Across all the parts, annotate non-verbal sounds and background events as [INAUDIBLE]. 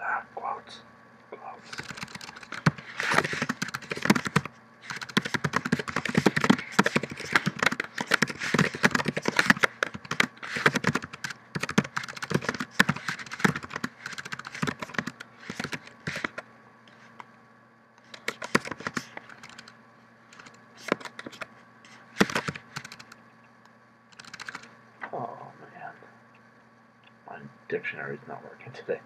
Ah, quotes, quotes. Oh man. My dictionary is not working today.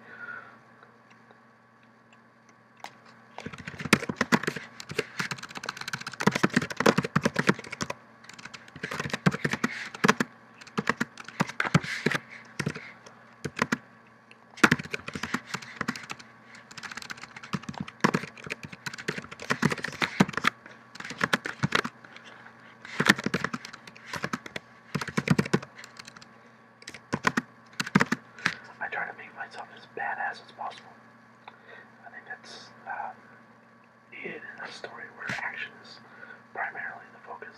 I try to make myself as badass as possible. I think that's needed um, in a story where action is primarily the focus.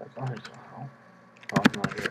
That's always a Oh, I'm not here.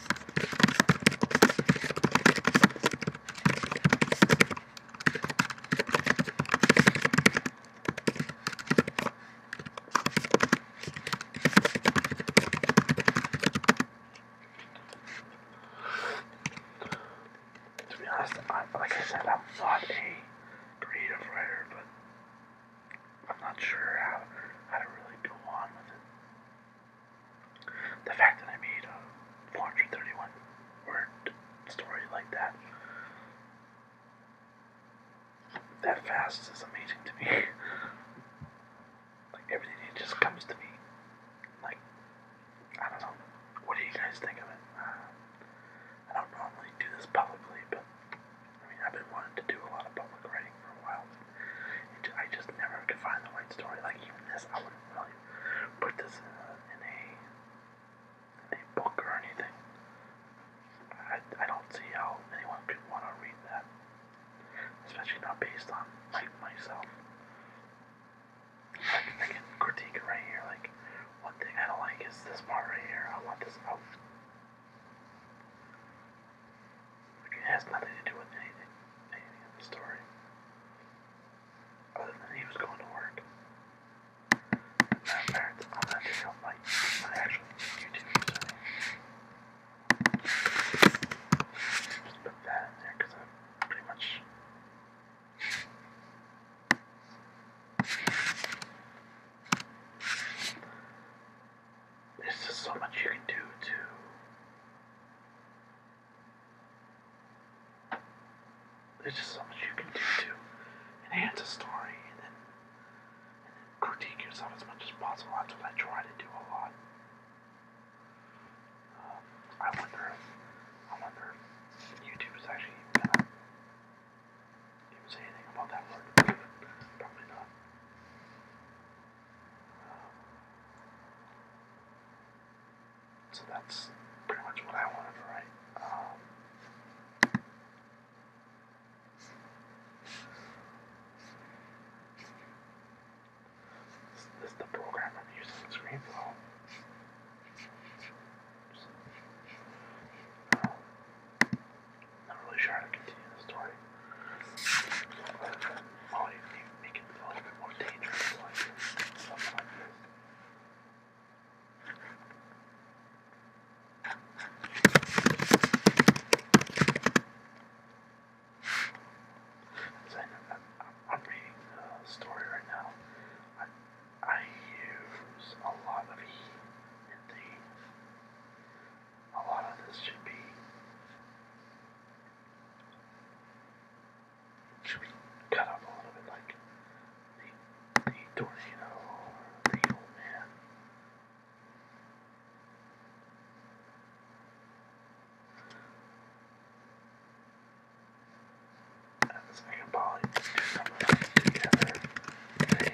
To be honest, I, like I said, I'm not a creative writer, but I'm not sure how, how to really go on with it. The fact that I made a 431 word story like that that fast is amazing to me. [LAUGHS] like everything it just comes to me. Like I don't know. What do you guys think of it? Uh, I don't normally do this publicly, but I mean I've been wanting to do a lot of public writing for a while. I just never could find the right story. Like even this, I wouldn't really put this in a in a, book or anything. I, I don't see how anyone could want to read that, especially not based on like myself. I can, I can critique it right here. Like one thing I don't like is this part right here. I want this out. Like it has nothing to do with anything, anything in the story. Other than he was going to work. My parents, I'm not sure my, actual YouTube username. Just put that in there because I'm pretty much. There's just so much you can do to there's just so much you can do to enhance a story and then, critique yourself as much as possible. That's what I try to do a lot. Um, I wonder I wonder YouTube is actually even say anything about that word. Probably not. Um, so that's pretty much what I wanted to write. Um, this, is the program using Screenflow. Um, not really sure to continue the story. All you do it a little bit more dangerous Something like this. I'm, I'm reading the story right now. I, use a lot of he and thee. A lot of this should be should we cut up a little bit like the, the tornado the old man? And the second poly do some together.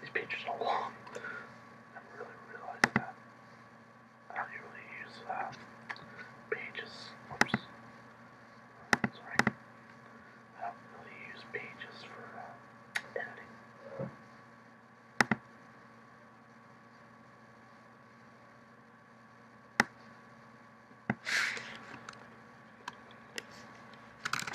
These pages are long. I really realized that. I don't usually use uh, pages. Oops. Sorry. I don't really use pages for uh, editing. As I said, always critique.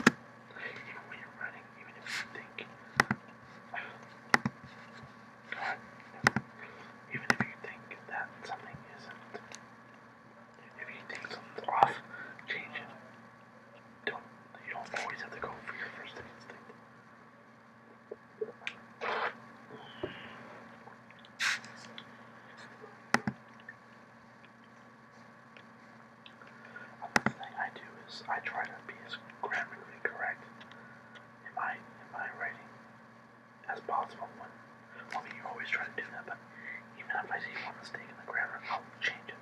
Even when you're running, even if you think, God, even if you think that something isn't, if you think something's off, change it. Don't you don't always have to go for your first instinct. Another thing I do is I try to be as grammatically correct in my in my writing as possible. When, I mean, you always try to do that, but even if I see one mistake in the grammar, I'll change it.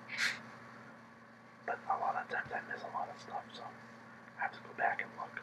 But a lot of times I miss a lot of stuff, so I have to go back and look.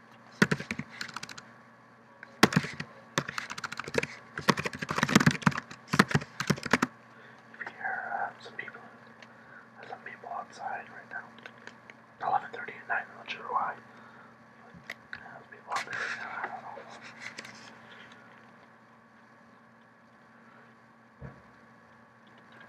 If some people, some people outside right now. 11:30 at night. I'm not sure why. But, people out there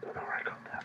Don't know where I got that.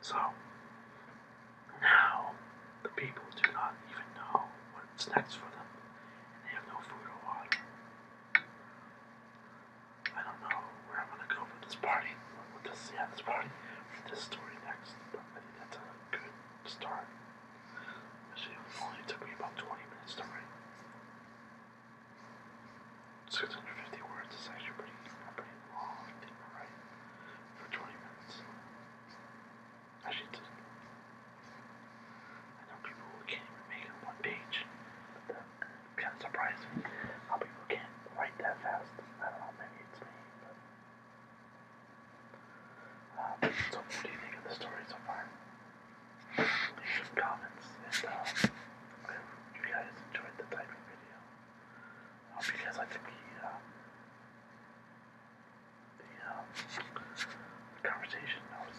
So now the people do not even know what's next for them, they have no food or water. I don't know where I'm gonna go for this party. With this, yeah, this party, for this story next. But I think a good start. it only took me about 20 minutes to write. 650 words is actually pretty, pretty long, I think, For 20 minutes. Actually, I know people who can't even make it one page. kind of surprising how people can write that fast. I don't know, maybe it's me, but. Uh, so, what do you think of the story so far? Leave some comments and, uh, if you guys enjoyed the typing video. Hope you guys like to be uh, the um, conversation. I was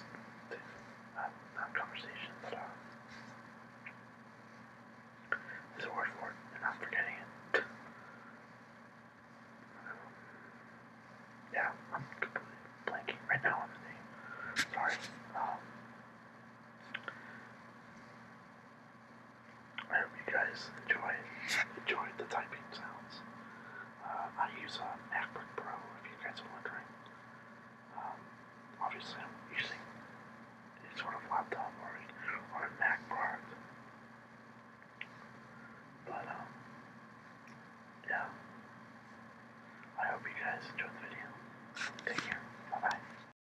not, not conversation, but uh, there's a word for it, and I'm forgetting it. yeah, I'm completely blanking right now on the name. Sorry. Um, I hope you guys enjoy enjoyed the typing sounds. Uh, I use a uh, MacBook Pro, if you guys are wondering. Um, obviously, I'm using a sort of laptop or a, Mac product. But, um, yeah. I hope you guys enjoyed the video. Take care. Bye bye.